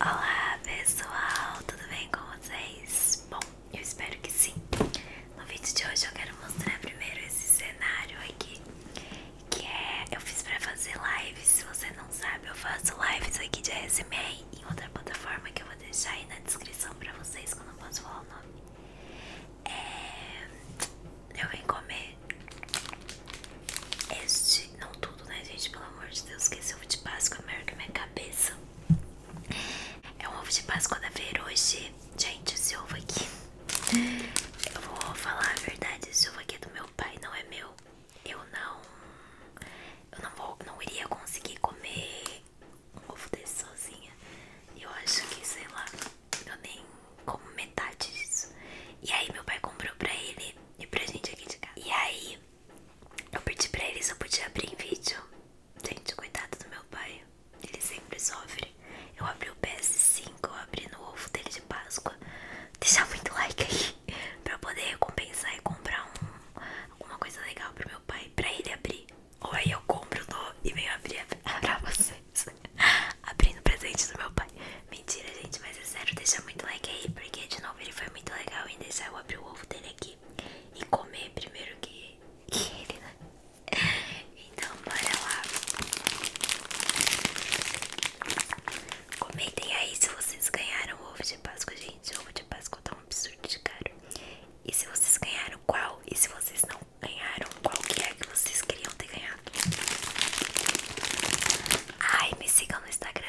Olá pessoal, tudo bem com vocês? Bom, eu espero que sim. No vídeo de hoje eu quero mostrar primeiro esse cenário aqui, que é eu fiz para fazer lives. Se você não sabe, eu faço lives aqui de ASMR em outra plataforma que eu vou deixar aí na descrição para vocês, quando eu posso falar o nome. É... Eu vim comer este, não tudo, né, gente? Pelo amor de Deus, que esse ovo de Páscoa é maior que minha cabeça. É um ovo de Páscoa da feira hoje. Gente, esse ovo aqui. Eu vou falar a verdade: esse ovo aqui é do meu pai, não é meu. Eu não. Eu não, vou, não iria conseguir comer um ovo desse sozinha. Eu acho que, sei lá, eu nem como metade disso. E aí, meu pai comprou pra ele e pra gente aqui de casa. E aí, eu pedi pra ele se eu podia abrir em vídeo. Gente, cuidado do meu pai. Ele sempre sofre. Eu abri o PS5, abri no ovo dele de Páscoa. Deixa muito like aí pra eu poder recompensar e comprar um, alguma coisa legal pro meu pai, pra ele abrir. Ou aí eu compro no, e venho abrir pra vocês. Abrindo presente do meu pai. Mentira, gente, mas é sério, deixa muito like aí, porque de novo ele foi muito legal em deixar eu abrir o ovo dele aqui e comer primeiro que, ele, né? Então, bora lá. Comentem aí se vocês ganharam o ovo de Páscoa, gente. O ovo de Páscoa tá um absurdo de caro. E se vocês ganharam qual? E se vocês não ganharam, qual que é que vocês queriam ter ganhado? Ai, me sigam no Instagram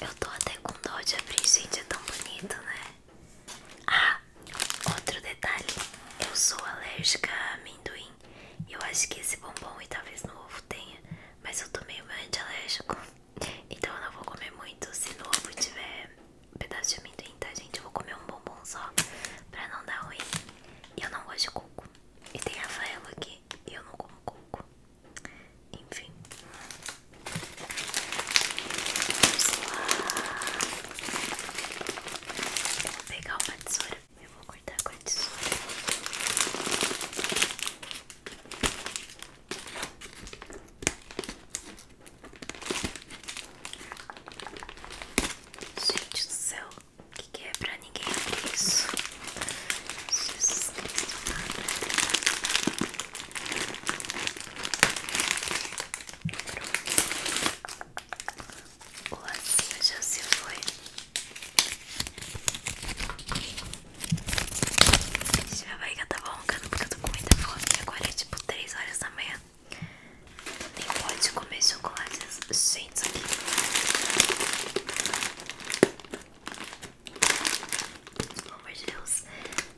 Eu tô até com dó de abrir, gente, é tão bonito, né? Ah, outro detalhe, eu sou alérgica a amendoim e eu acho que esse bombom e talvez no ovo tenha, mas eu tô meio anti-alérgico, então eu não vou comer muito se no ovo tiver um pedaço de amendoim, tá, gente? vou comer um bombom só pra não dar ruim. E eu não gosto de coco. E tem Rafaelo aqui e eu não como coco. Enfim. Vamos lá. vou pegar uma tesoura. Eu vou cortar com a tesoura. Gente do céu, o que, é pra ninguém abrir isso? Jesus Cristo, Pronto. O lacinho já se foi. Já vai que tá bom, cara, porque comida com muita Agora é tipo 3 horas da manhã. Nem pode comer chocolates. Gente, isso aqui. Pelo amor de Deus.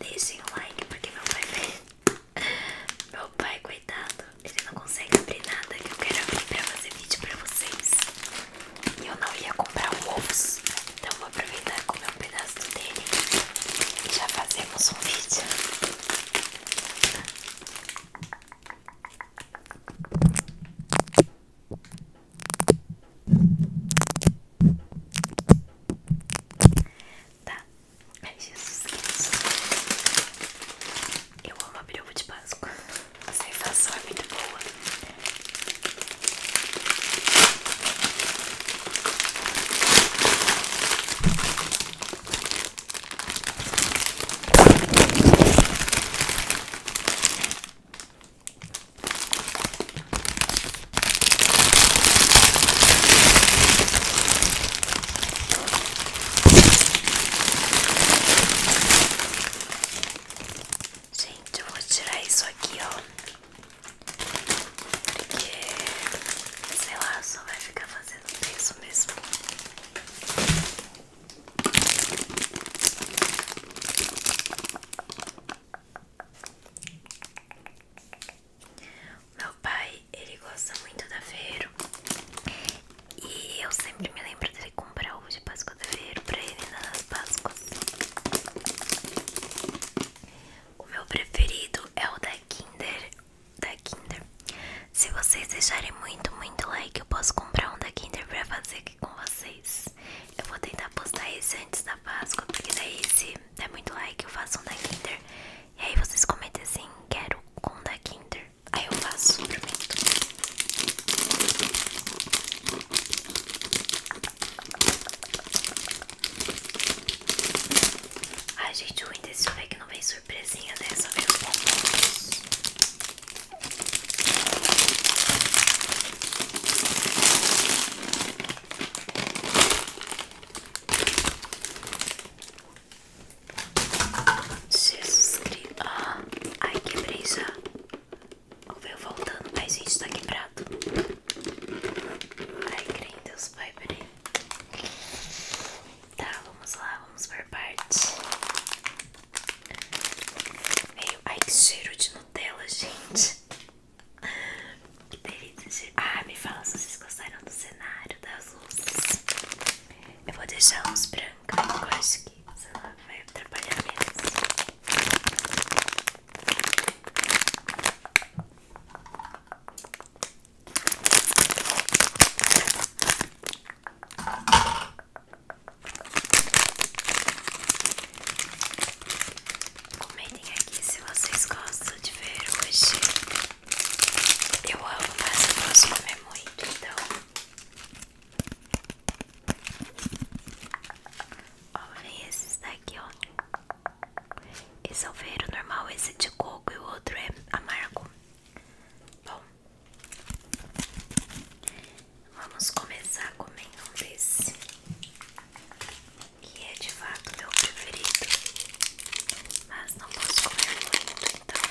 Deixem o like porque meu pai vê. Meu pai, coitado. Ele não consegue abrir nada que eu quero abrir pra fazer vídeo pra vocês. E eu não ia comprar ovos. Então vou aproveitar comer um pedaço dele e já fazemos um vídeo. Tá, ai Jesus Cristo. Eu amo abrir o ovo de Páscoa. A sensação é muito boa. Gente, eu vou tirar isso aqui, ó. Porque, sei lá, só vai ficar fazendo peso mesmo. Meu pai, ele gosta muito da Feiro E eu sempre me lembro dele comprar ovo de Páscoa da Feiro pra ele nas Páscoas o meu preferido é o da Kinder, da Kinder. Se vocês deixarem muito, muito like, eu posso comprar um da Kinder pra fazer aqui com vocês. Eu vou tentar postar esse antes da Páscoa, porque daí se der muito like, eu faço um da Kinder. E aí vocês comentem assim, quero com um da Kinder. Aí eu faço, prometo. Ai, gente, o ruim desse que não vem surpresinha, né? Só vem os Jesus Cristo. Ah, ai, que já. Ou veio voltando, mas gente, tá quebrado. Ai, creio em Deus, pai, peraí. Tá, vamos lá, vamos por parte Meio. Ai, que cheiro de Nutella, gente. Que delícia de... Ah, me fala se vocês gostaram do cenário, das luzes. Eu vou deixar uns brancos, eu acho que, sei lá, vai atrapalhar mesmo. Comentem aqui se vocês gostam de ver hoje. Eu amo, fazer você comer muito, então Olhem esses daqui, ó. Esse é o feiro normal, esse é de coco e o outro é amargo. Bom, vamos começar comendo um desse, que é de fato meu preferido, mas não posso comer muito, então.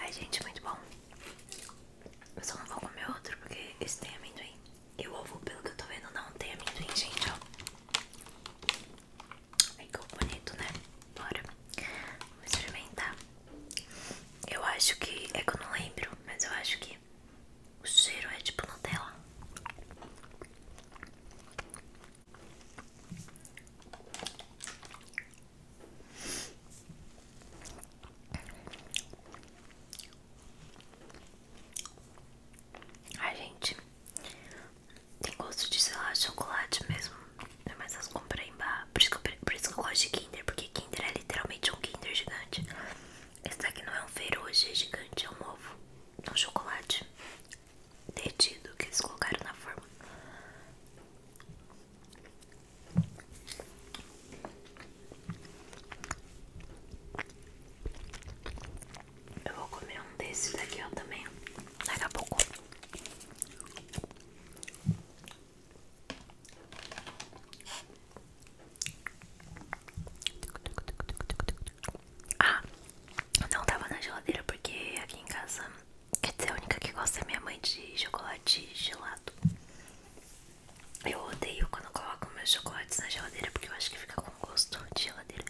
Ai, gente, muito bom. Eu só não vou comer outro porque esse tem amendoim. E o ovo, pelo que eu tô vendo, não tem minha gente, ó. Ai, que bonito, né? Bora. vou experimentar. Eu acho que... É que eu não lembro, mas eu acho que o cheiro é tipo Nutella a gente, tem gosto de, sei lá, chocolate mesmo. Mas as comprei em barra. Por isso, que eu, gosto de Kinder, porque Kinder é literalmente um Kinder gigante. Esse daqui não é um hoje é gigante, é um ovo. É um chocolate derretido que eles colocaram na forma. Eu vou comer um desses daqui ó, também daqui a pouco. Ah, não tava na geladeira porque aqui em casa quer a única que gosta é minha mãe de chocolate gelado. Eu odeio quando coloco meus chocolates na geladeira porque eu acho que fica com gosto de geladeira.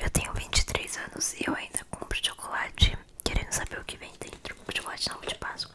Eu tenho vinte e três anos e eu ainda compro chocolate querendo saber o que vem dentro. Chocolate não de Páscoa.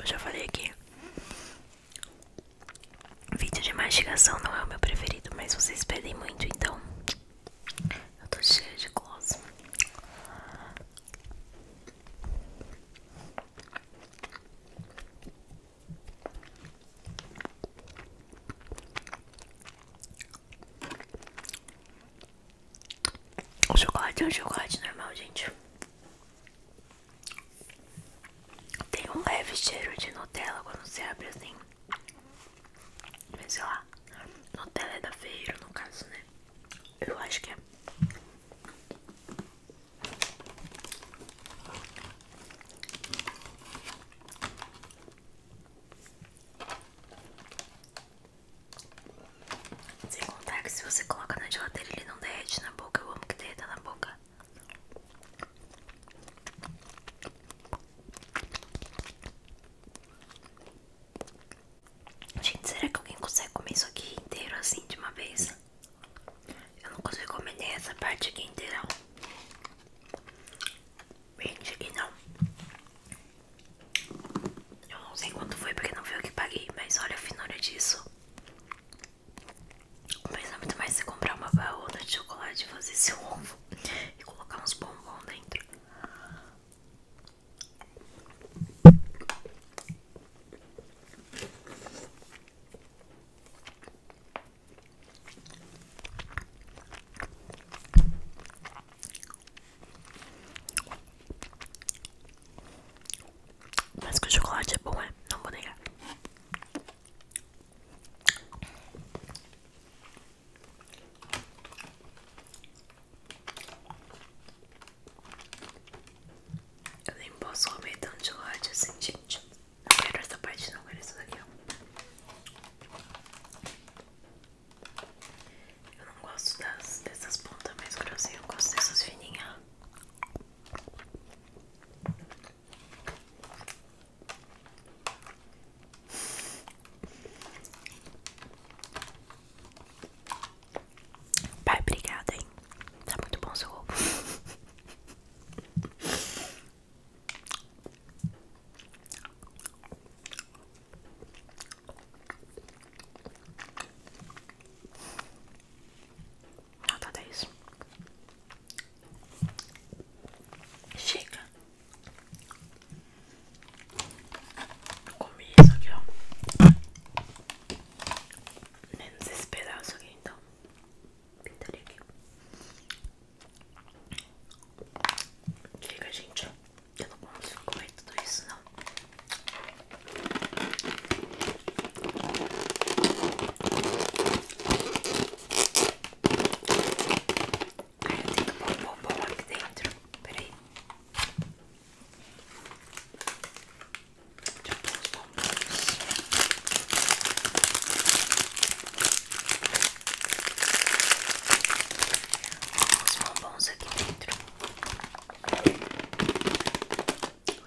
Eu já falei aqui. Vídeo de mastigação não é o meu preferido, mas vocês pedem muito, então eu tô cheia de gloss. O chocolate é um chocolate normal, gente. Tem um leve cheiro de Nutella quando você abre assim. Mas sei lá, Nutella é da feira, no caso, né? Eu acho que é. Sem contar que se você coloca na geladeira ele não derrete na boca. Eu amo que derreta na boca. Gente, será que alguém consegue comer isso aqui inteiro assim de uma vez? Eu não consigo comer nem essa parte aqui inteira. 20 e não. Eu não sei quanto foi porque não vi o que paguei, mas olha a finura disso. pensa muito mais você comprar uma baúna de chocolate e fazer seu ovo e colocar uns bombons dentro. Mas que o chocolate é bom, é? Não vou negar. Eu nem posso comer tanto chocolate assim, gente. Não quero essa parte, não quero isso daqui. ó. Eu não gosto das, dessas pontas mais grossinhas, eu gosto dessas fininhas. Pai, obrigada, hein? Tá muito bom seu ovo. Nota tá, 10. Tá Chega. com isso aqui, ó. Menos esse pedaço aqui, então. Pintarei aqui. Diga, gente, eu não consigo comer tudo isso, não. Ai, eu tenho que pôr um bombom aqui dentro. Peraí. Já pôr os bombons aqui dentro. Os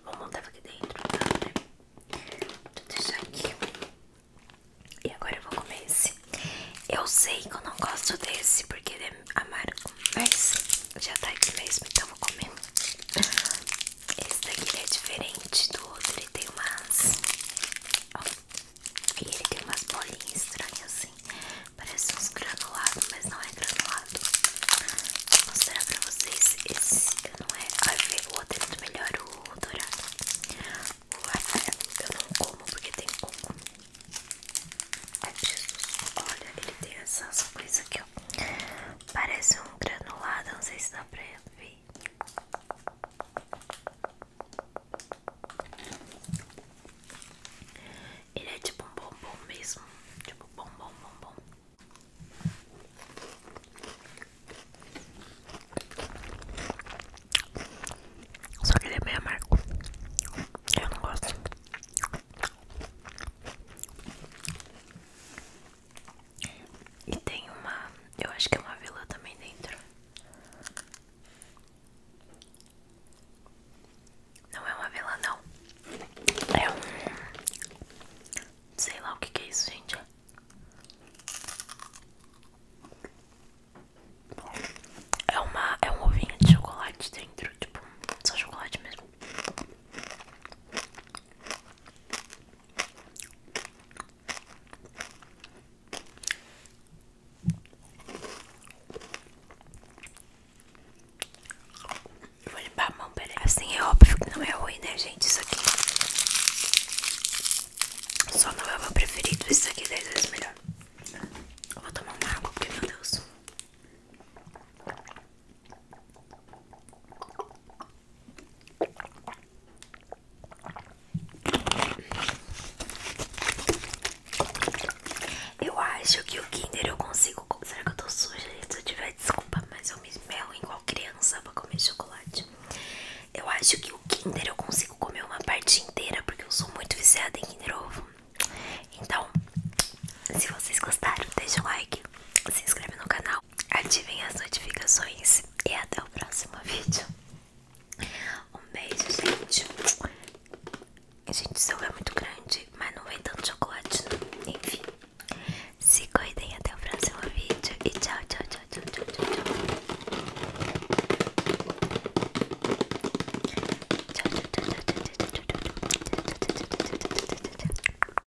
bombons estavam aqui dentro, tá, né? aqui. E agora eu vou comer esse. Eu sei que eu não gosto desse porque ele é amargo, mas já tá aqui mesmo, então eu vou comer. Esse daqui é diferente do outro, ele tem umas. e ele tem umas bolinhas estranhas assim. Parece uns granulados, mas não é granulado. Vou mostrar pra vocês. Esse não é. o outro é muito melhor, o dourado. O laranja eu não como porque tem coco. é Jesus. Olha, ele tem essas coisas aqui, ó. Parece um granulado, não sei se dá pra ver. Ele é tipo um bombom mesmo, tipo bombom, bombom. Só que ele é bem amargo. Eu não gosto. E tem uma. Eu acho que é uma vila também dentro. Não é uma vila, não. É um. Sei lá o que, é isso, gente. É uma. É um ovinho de chocolate dentro. Tipo, só chocolate mesmo vou limpar a mão, peraí. Assim é óbvio que não é ruim, né, gente? Isso aqui. Só não é o meu preferido. Isso aqui é 10 vezes melhor. vou tomar uma água, porque, meu Deus. Eu acho que o Kinder eu consigo. Será que eu tô suja? Se eu tiver, desculpa, mas eu me esmero igual criança pra comer chocolate. Eu acho que o Kinder eu consigo comer uma parte inteira, porque eu sou muito viciada em Kinder Ovo. Então, se vocês gostaram, deixa o like, se inscreve no canal ativem as notificações e até o próximo vídeo. Um beijo, gente. Gente, o seu é muito grande, mas não vem tanto chocolate, não. Enfim, se cuidem até o próximo vídeo e tchau, tchau, tchau, tchau, tchau, tchau. Tchau, tchau, tchau, tchau, tchau, tchau, tchau, tchau, tchau, tchau, tchau, tchau, tchau, tchau, tchau, tchau, tchau.